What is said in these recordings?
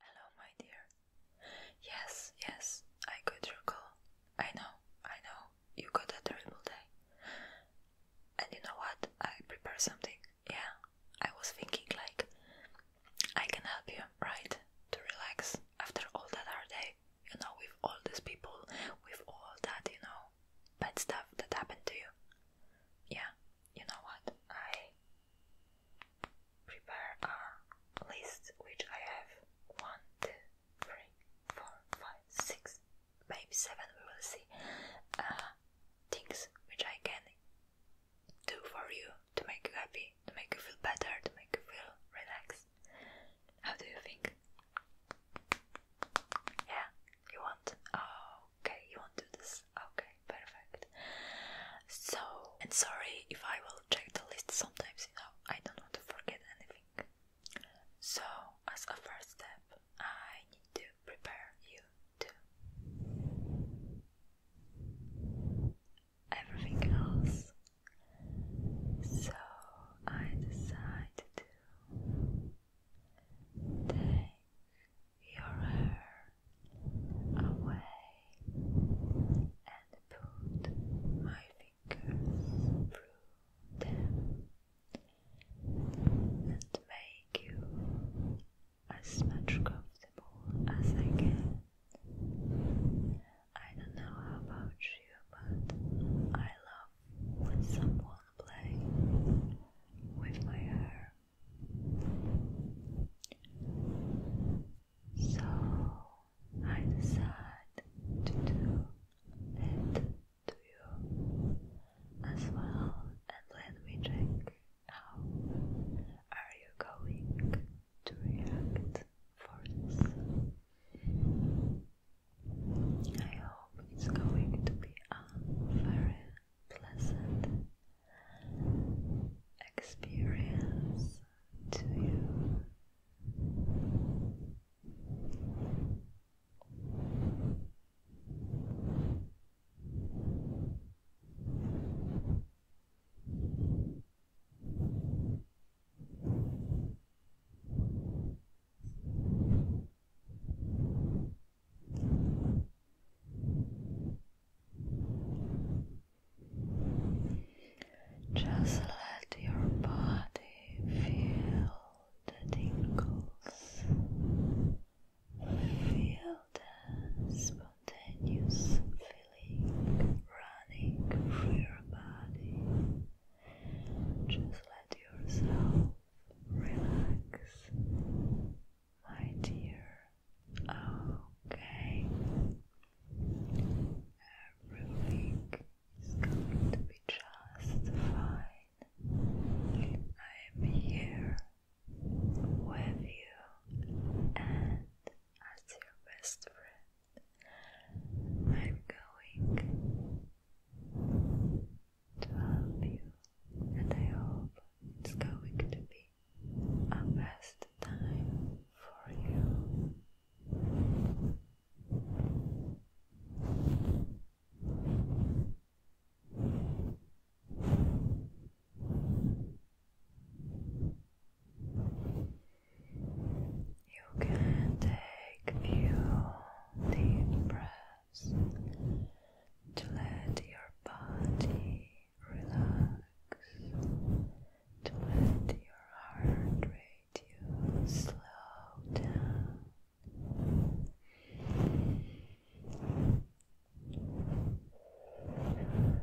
Hello, my dear. Yes, yes, I could recall. I know, I know, you got a terrible day. And you know what? I prepared something. Yeah, I was thinking, like, I can help you, right? To relax after all that hard day, you know, with all these people, with all that, you know, bad stuff that happened to you. Yeah, you know what? I prepare a list which I have one, two, three, four, five, six, maybe seven, we will see. Uh, things which I can do for you to make you happy, to make you feel better, to make you feel relaxed. How do you think? Yeah, you want? Oh, okay, you want to do this? Okay, perfect. So, and sorry if I will check the list sometimes, you know, I don't want to forget anything. So, as a first step, I need to prepare you to everything else. So, I decide to Take your hair away and put my fingers through them and make you as much comfortable as I can. I don't know about you, but I love when someone play with my hair. So I decide to do it to you as well and let me check how are you going to react for this. I hope it's going to be a very pleasant experience to you. Just let your body feel the tingles, feel the spontaneous feeling running through your body. Just let yourself relax, my dear. Okay, everything is going to be just fine. I am here with you and as your best friend. I'm going to help you, and I hope it's going to be a best time for you. You can take a few deep breaths to let your body relax, to let your heart rate slow down. One more time.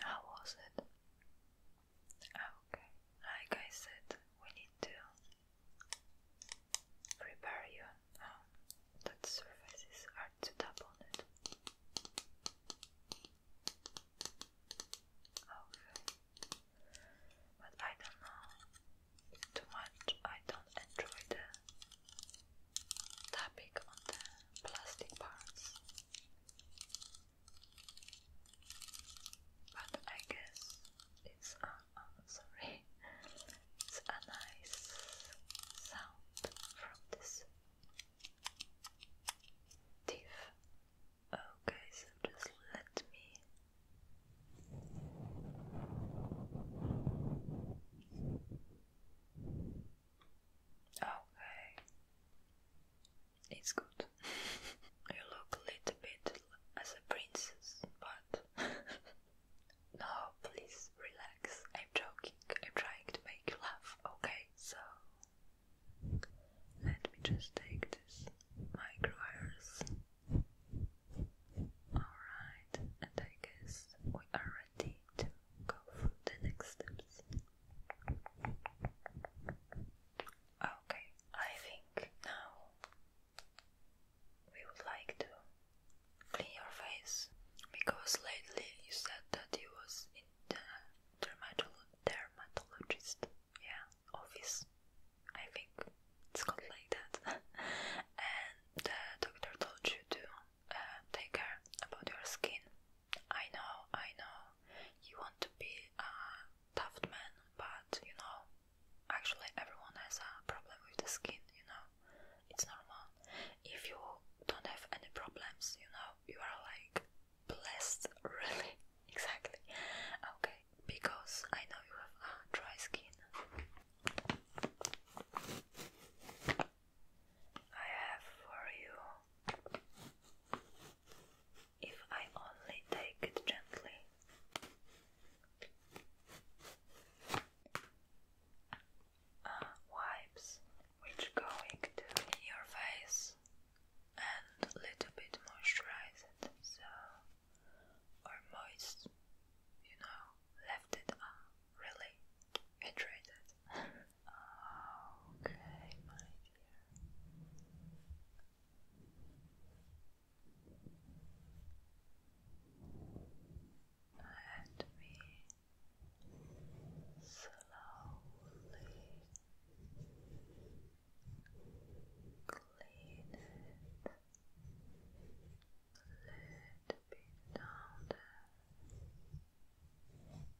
How was it? Ah, okay, like I said, we need to prepare you. Um, that surfaces are too tap Okay, but I don't know too much. I don't enjoy the tapping on the plastic parts. But I guess it's a, oh, sorry, it's a nice sound from this teeth. Okay, so just let me. Okay. It's good. you look a little bit as a princess, but no, please relax. I'm joking. I'm trying to make you laugh. Okay, so let me just take this microvirus. Alright, and I guess we are to go through the next steps. Okay, I think now we would like to clean your face because lately you said that you was in the dermatologist yeah office. I think it's called like that. and the doctor told you to uh, take care about your skin. I know, I know, you want to be a tough man, but you know, actually everyone has a problem with the skin, you know, it's normal. If you don't have any problems, you know, you are like blessed, really, exactly. Okay, because I know you have a dry skin. I have for you. If I only take it gently. Uh, wipes which going to your face and little bit moisturize so or moist you know left it uh, really hydrated. okay, my dear. Let me slowly clean it. A little down there.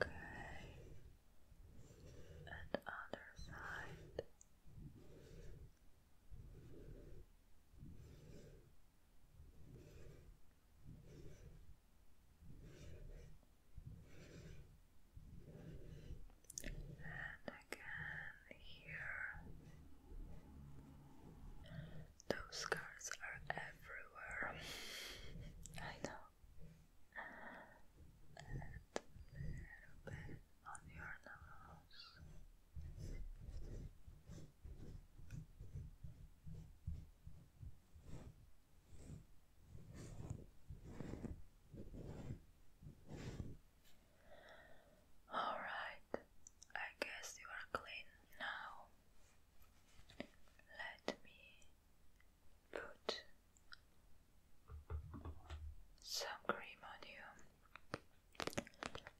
Okay, and other side. And again here. Those cars are everywhere. I know. And a little bit on your nose. All right, I guess you are clean now. Let me put some cream on you.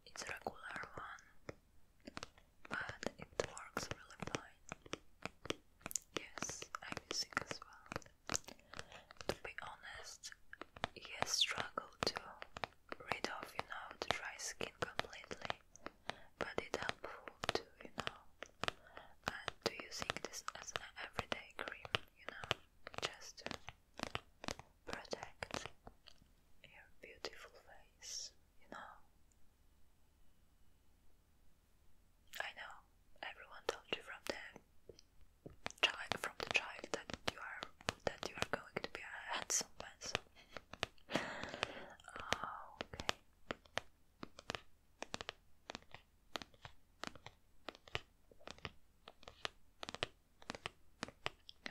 It's a regular one, but it works really fine. Yes, I'm using as well. To be honest, he struggle to rid of, you know, the dry skin completely. But it's helpful too, you know. And do you think this as an everyday cream, you know, just to protect your beautiful face, you know? I know everyone told you from the child from the child that you are that you are going to be a handsome oh, okay.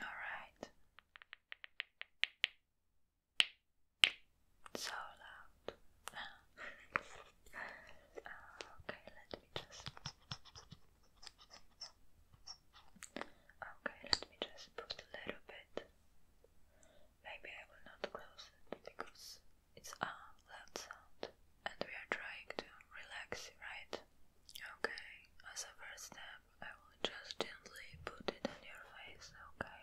All right. So loud. Ah. okay, let me just. Okay, let me just put a little bit. Maybe I will not close it because it's a ah, loud sound and we are trying to relax, right? Okay, as a first step, I will just gently put it on your face, okay?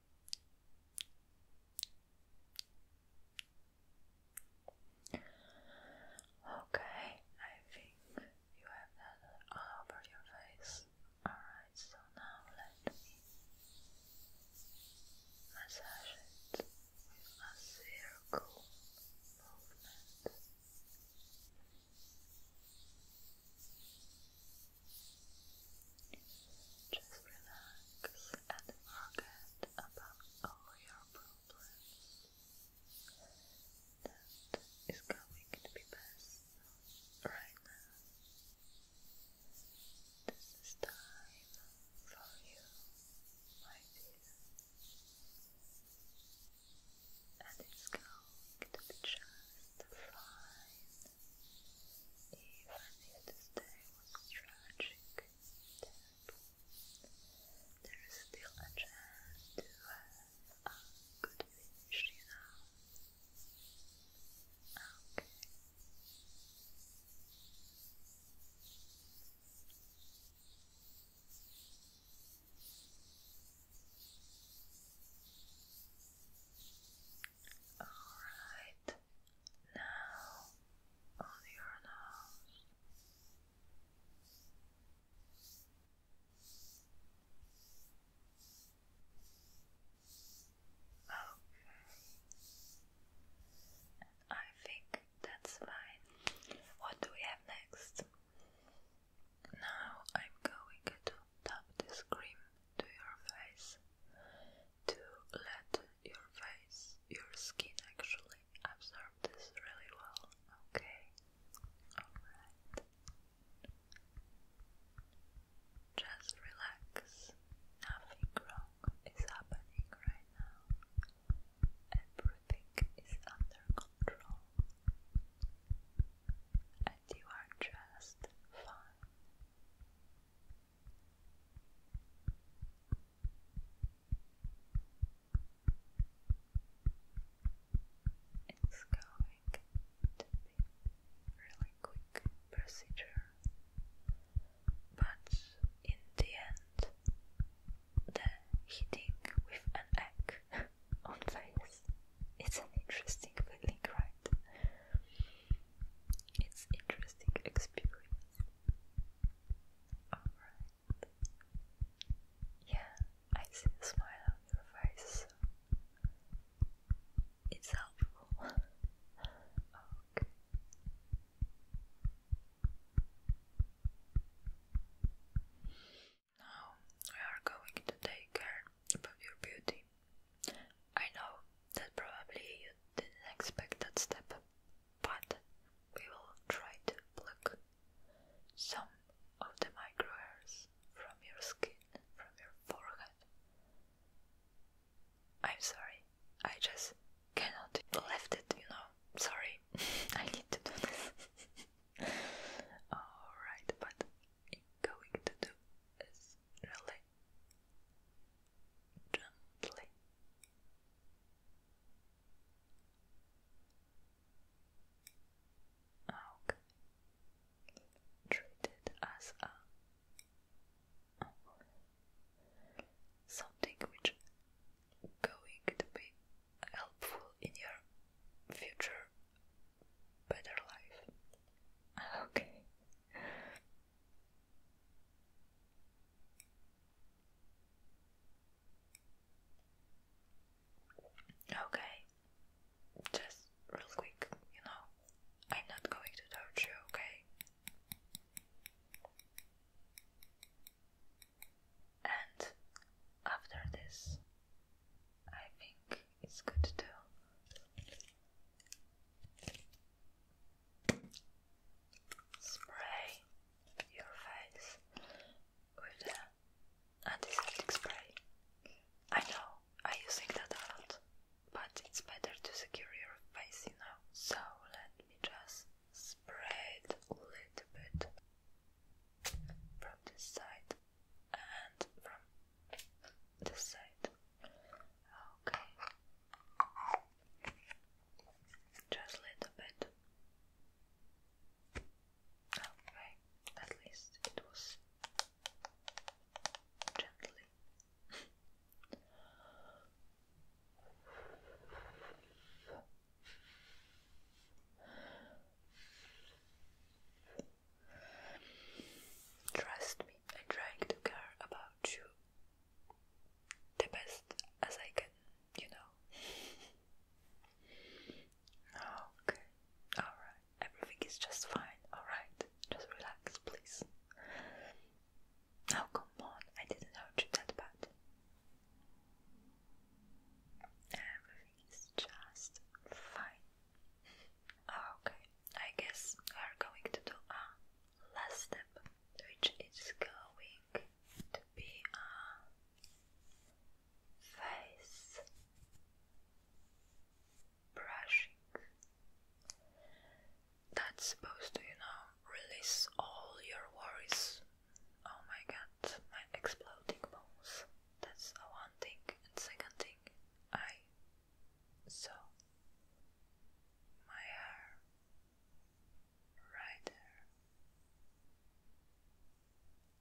Okay, I think you have that over your face. Alright, so now let me massage it with a circle movement. Just relax and forget about all your problems. That is going to be best right now. This is time for you, my dear. And it's going to be just fine. Even if this was tragic there is still a chance to have a good finish, you Okay. Alright, now on your nose. Okay, I think that's fine. What do we have next? Now I'm going to tap this cream to your face to let your face, your skin actually absorb this really well. Okay, alright. Just relax, nothing wrong is happening right now, everything is under control, and you are just fine. It's going really quick procedure, but in the end, the hitting with an egg on face, it's an interesting feeling, right? It's interesting experience. Alright. Yeah, I see the smile on your face, it's helpful. okay. Now we are going to take care of your beauty. I know that probably you didn't expect that step, but we will try to pluck some of the micro hairs from your skin, from your forehead. I'm sorry, I just cannot left it, you know. Sorry, I need to do this. Alright, but am going to do is really gently. Okay. Treat as a something which going to be helpful in your future better life. Okay. Okay, just real quick, you know, I'm not going to touch you, okay? And after this, I think it's good to Spray your face with uh, antiseptic spray. I know I'm that a lot, but it's better to secure your face, you know. So let me just spray it a little bit from this side and from this side. Okay. Just a little bit. Okay, at least it was gently. Trust me, I trying to care about you the best as I can, you know. Okay, alright, everything is just fine, alright, just relax, please. Now, come on, I didn't hurt you that bad. Everything is just fine. Okay, I guess we are going to do a last step which is going to be our face brushing. That's supposed to, you know, release all your worries. Oh my god, my exploding bones. That's one thing. second thing, I saw my hair right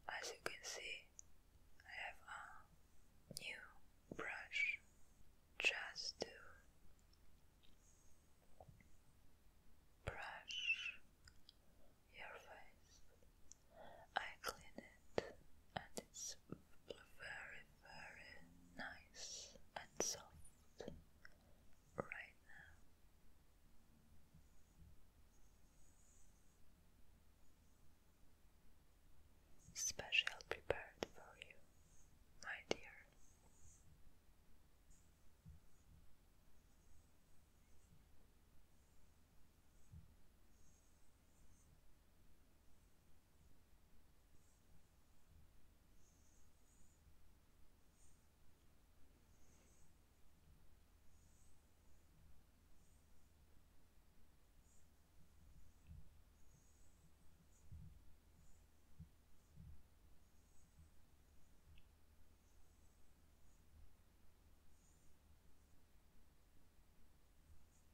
As you can see, I have a new brush just to brush your face. I clean it and it's very, very nice and soft. Special prepared for you, my dear.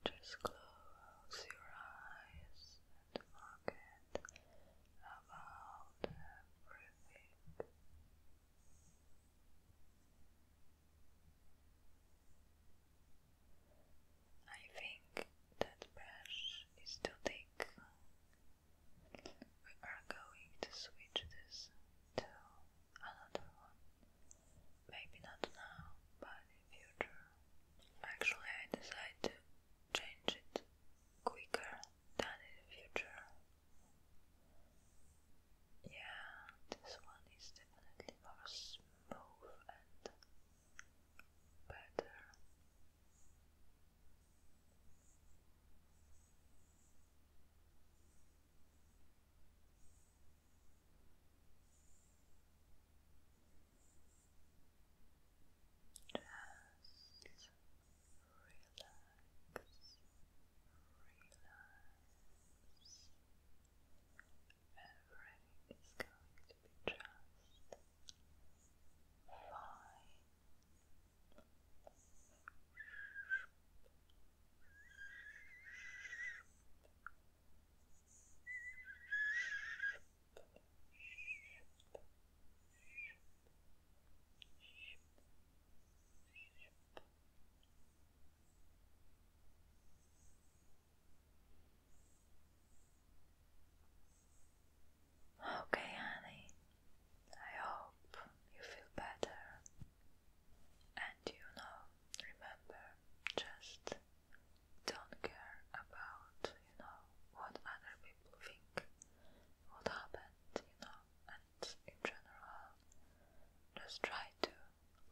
Just close your eyes and forget about everything. I think that brush is too thick. We are going to switch this to another one. Maybe not now, but in future. Actually, I decided to change it quicker done in the future. Yeah, this one is definitely more smooth and better. Just relax, relax. Everything is going to be just fine. Okay, honey, I hope you feel better. And you know, remember, just don't care about, you know, what other people think what happened, you know, and in general, just try to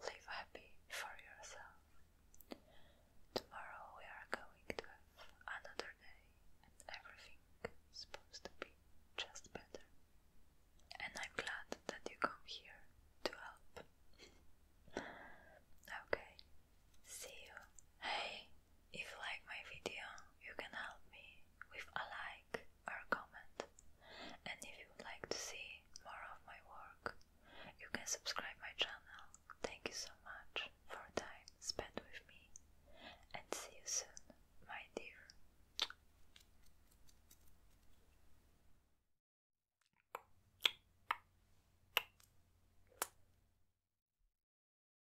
live happy for yourself. Tomorrow we are going to another day, and everything is supposed to be just better. And I'm glad that you come here to help. okay, see you. Hey, if you like my video, you can help me with a like or comment. And if you would like to see more of my work, you can subscribe my channel. Thank you so much for time spent with me and see you soon, my dear.